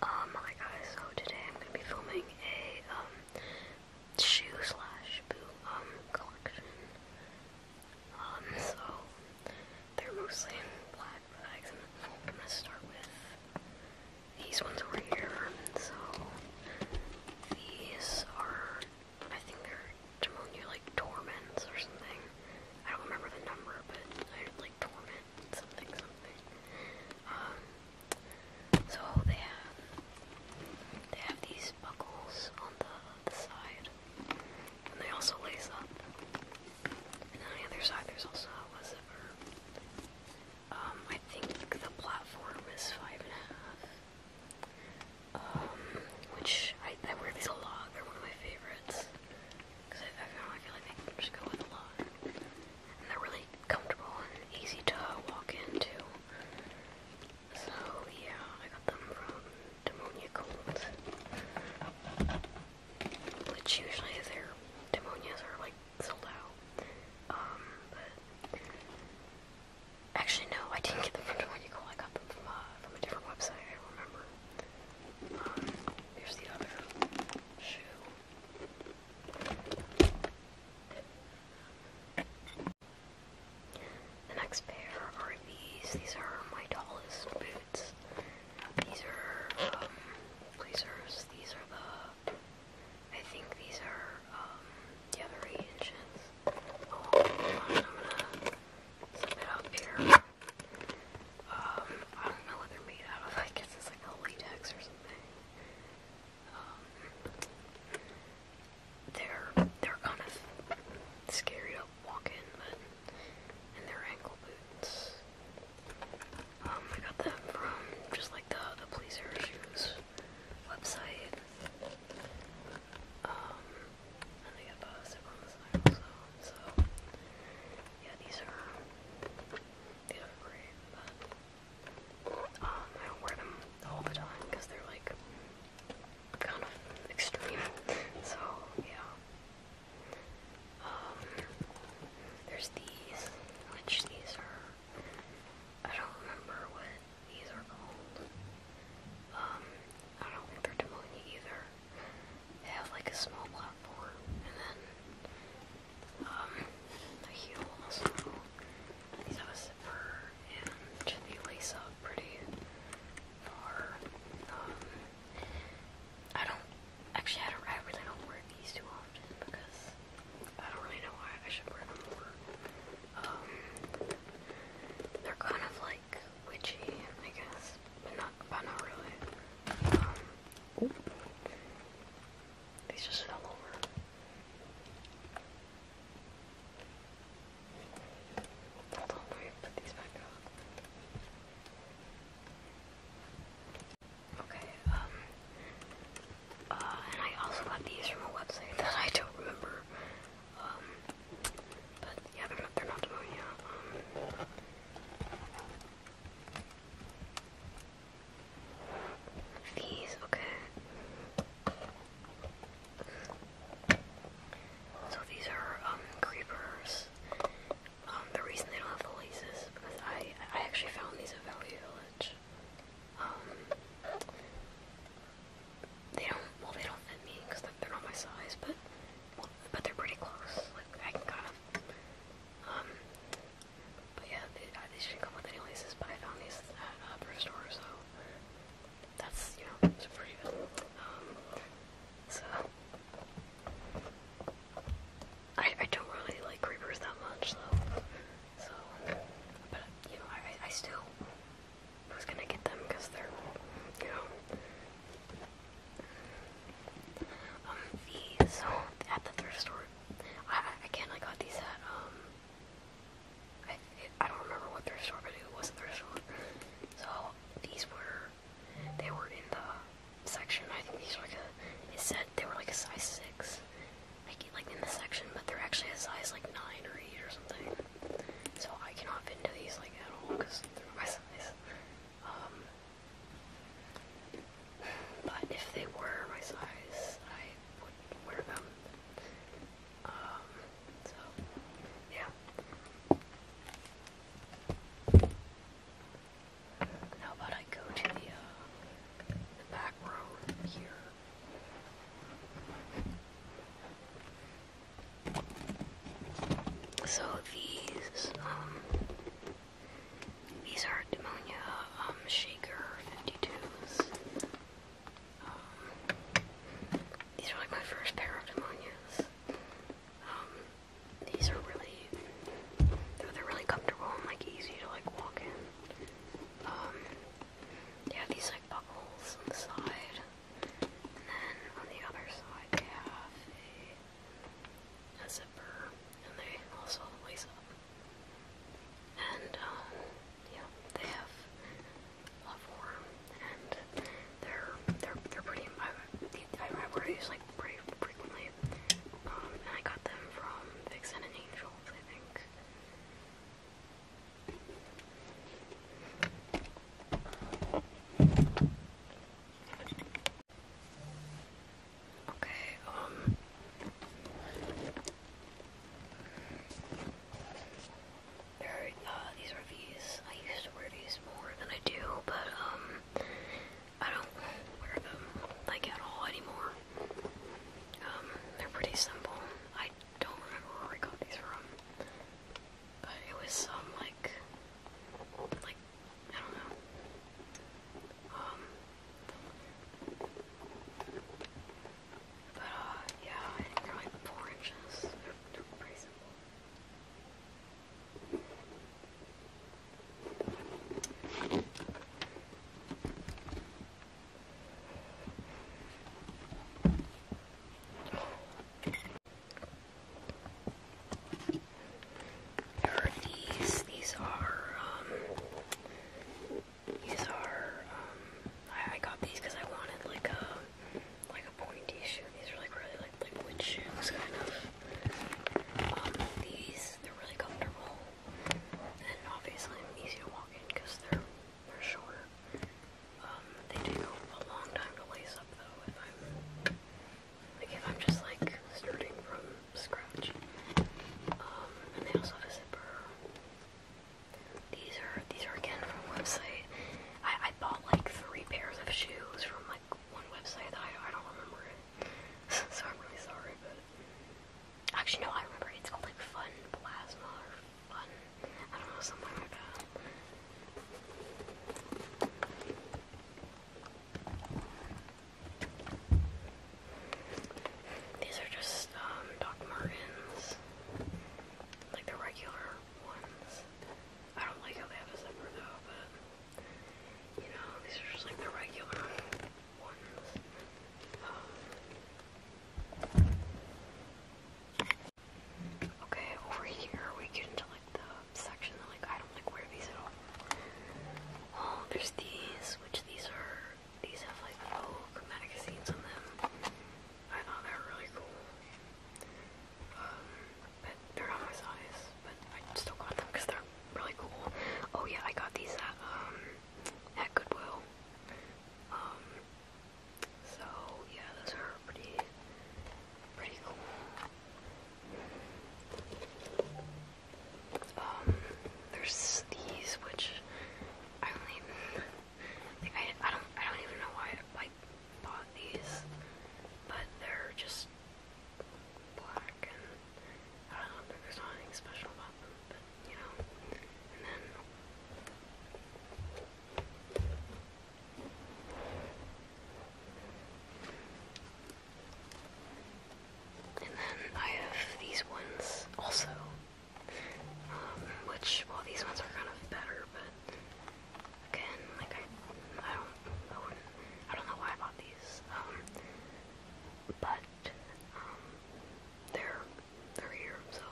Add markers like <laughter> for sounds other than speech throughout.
hi oh guys, so today I'm going to be filming a, um, shoe slash boot, um, collection. Um, so, they're mostly in black bags, and I'm going to start with these ones over here. So, these are, I think they're Jamonia, like, Torments or something. I don't remember the number, but I, like, Torment something um, so they have they have these buckles on the, the side, and they also lace up. And on the other side, there's also a zipper. Um, I think the platform is five and a half. Um, which I wear these a lot. They're one of my favorites. Because I, I like I just go in a lot. And they're really comfortable and easy to walk into. So yeah, I got them from Demonia Cold. Which usually their demonias are like sold Um, but actually no, I didn't get them from Demonia Cold. I got them uh, from a different website. I remember the next pair are these. These are my tallest boots. These are um, blazers. These are the. I think these are um, the other inches. Oh, I'm gonna zip it up here. Um, I don't know what they're made out of. I guess it's like a latex or something. Um, they're they're kind of scary to walk in, but and they're ankle boots. Um, I got them from just like the the police shoes website. Um, yeah, these are these are great, um, I don't wear them all the time because they're like kind of extreme. So yeah. Um, there's these, which these are. I don't remember what these are called. Um, I don't think they're demanding either. have like a small platform and then um a These have a zipper and they lace up pretty far. Um, I don't actually I don't I really don't wear these too often because I don't really know why I should wear them more. Um, they're kind of like witchy, I guess, but not, not really. Um, these just fell over. Hold on, let put these back up. Okay, um, uh, and I also got these from a website <laughs> that I don't remember. Um, but yeah, they're not, these, okay. So these are creepers. Um, the reason they don't have the laces because I I actually found these at Valley Village. Um, they don't, well, they don't fit me because they're not my size, but but they're pretty close. Like I can kind of, um, but yeah, they, uh, should come with any laces. But I found these at a uh, uh, thrift store, so that's you know, it's pretty good. Um, so I I don't really like creepers that much, though. So, but you know, I I still I who's gonna get them because they're, you know. Um, these, at the thrift store, I, I can't, I got these at, um, I, I don't remember what thrift store, but it was not thrift store. So these were, they were in the section, I think these were like a, it said they were like a size 6 like, like in this section, but they're actually a size like 9 or 8 or something. So I cannot fit into these like at all because they're my size. Um, but if they were my size, I would wear them. Um, so, yeah. How about I go to the, uh, the back row here? So these, um, these are Demonia, um, Shaker 52s. Um, these are like my first pair of Demonias. these are really, they're really comfortable and like easy to like walk in they um, have these like bubbles on the side, and then on the other side they have a, zipper, and they also lace up. And um, yeah, they have a form, and they're they're they're pretty. I, wear these like pretty frequently, um, and I got them from Vixen and Angel. I think. Okay, um there are, uh, these are these. I used to wear these more than I do, but um I don't wear them like at all anymore. Um, they're pretty simple. I don't remember where I got these from, but it was some like, like I don't know. Um, but uh, yeah, they're like four inches. they're pretty simple these. These are, um, these are, um, I, got these because I wanted like a, like a pointy shoe. These are like really like liquid shoes, kind of these, they're really comfortable, and obviously easy to walk in because they're, they're short. Um, they take a long time to lace up though like if I'm just like starting from scratch. Um, and they also have a zipper. These are, these are again from website. I, I bought like three pairs of shoes from one website that I, I don't remember it. <laughs> so I'm really sorry, but actually no, I remember it's called like Fun Plasma or Fun, I don't know, something like that. These are just um, Doc Martens, like the regular ones. I don't like how they have a zipper though, but okay, over here we get into like the section that like I don't like wear these at all. Oh, there's these, which these are, these have like Vogue magazines on them. I thought they were really cool. Um, they're not my size, but I still got them they're really cool. Oh yeah, I got these at, um, at Goodwill. Um, so yeah, those are pretty, pretty cool. Um, there's these, which I don't even, like, I, I don't, I don't even know why I bought these, but they're just black and I don't know, there's not special about them, you know. And then I have these ones also, um, which, well, these ones are kind of better, but Again, like I, I don't, I don't know why I bought these. Um, but um, they're they're here. So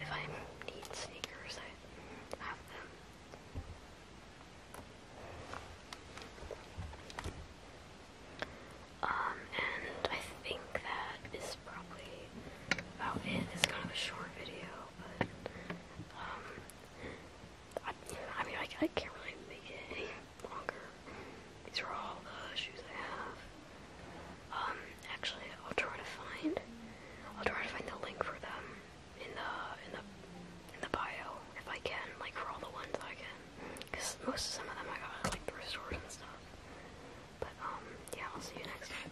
if I need sneakers, I have them. Um, and I think that is probably about it. It's kind of a short video. Um, I, mean, I, I can't really make it any longer. These are all the shoes I have. Um, actually, I'll try to find, I'll try to find the link for them in the in the in the bio if I can, like for all the ones I can, because most of some of them I got like thrift stores and stuff. But um, yeah, I'll see you next time.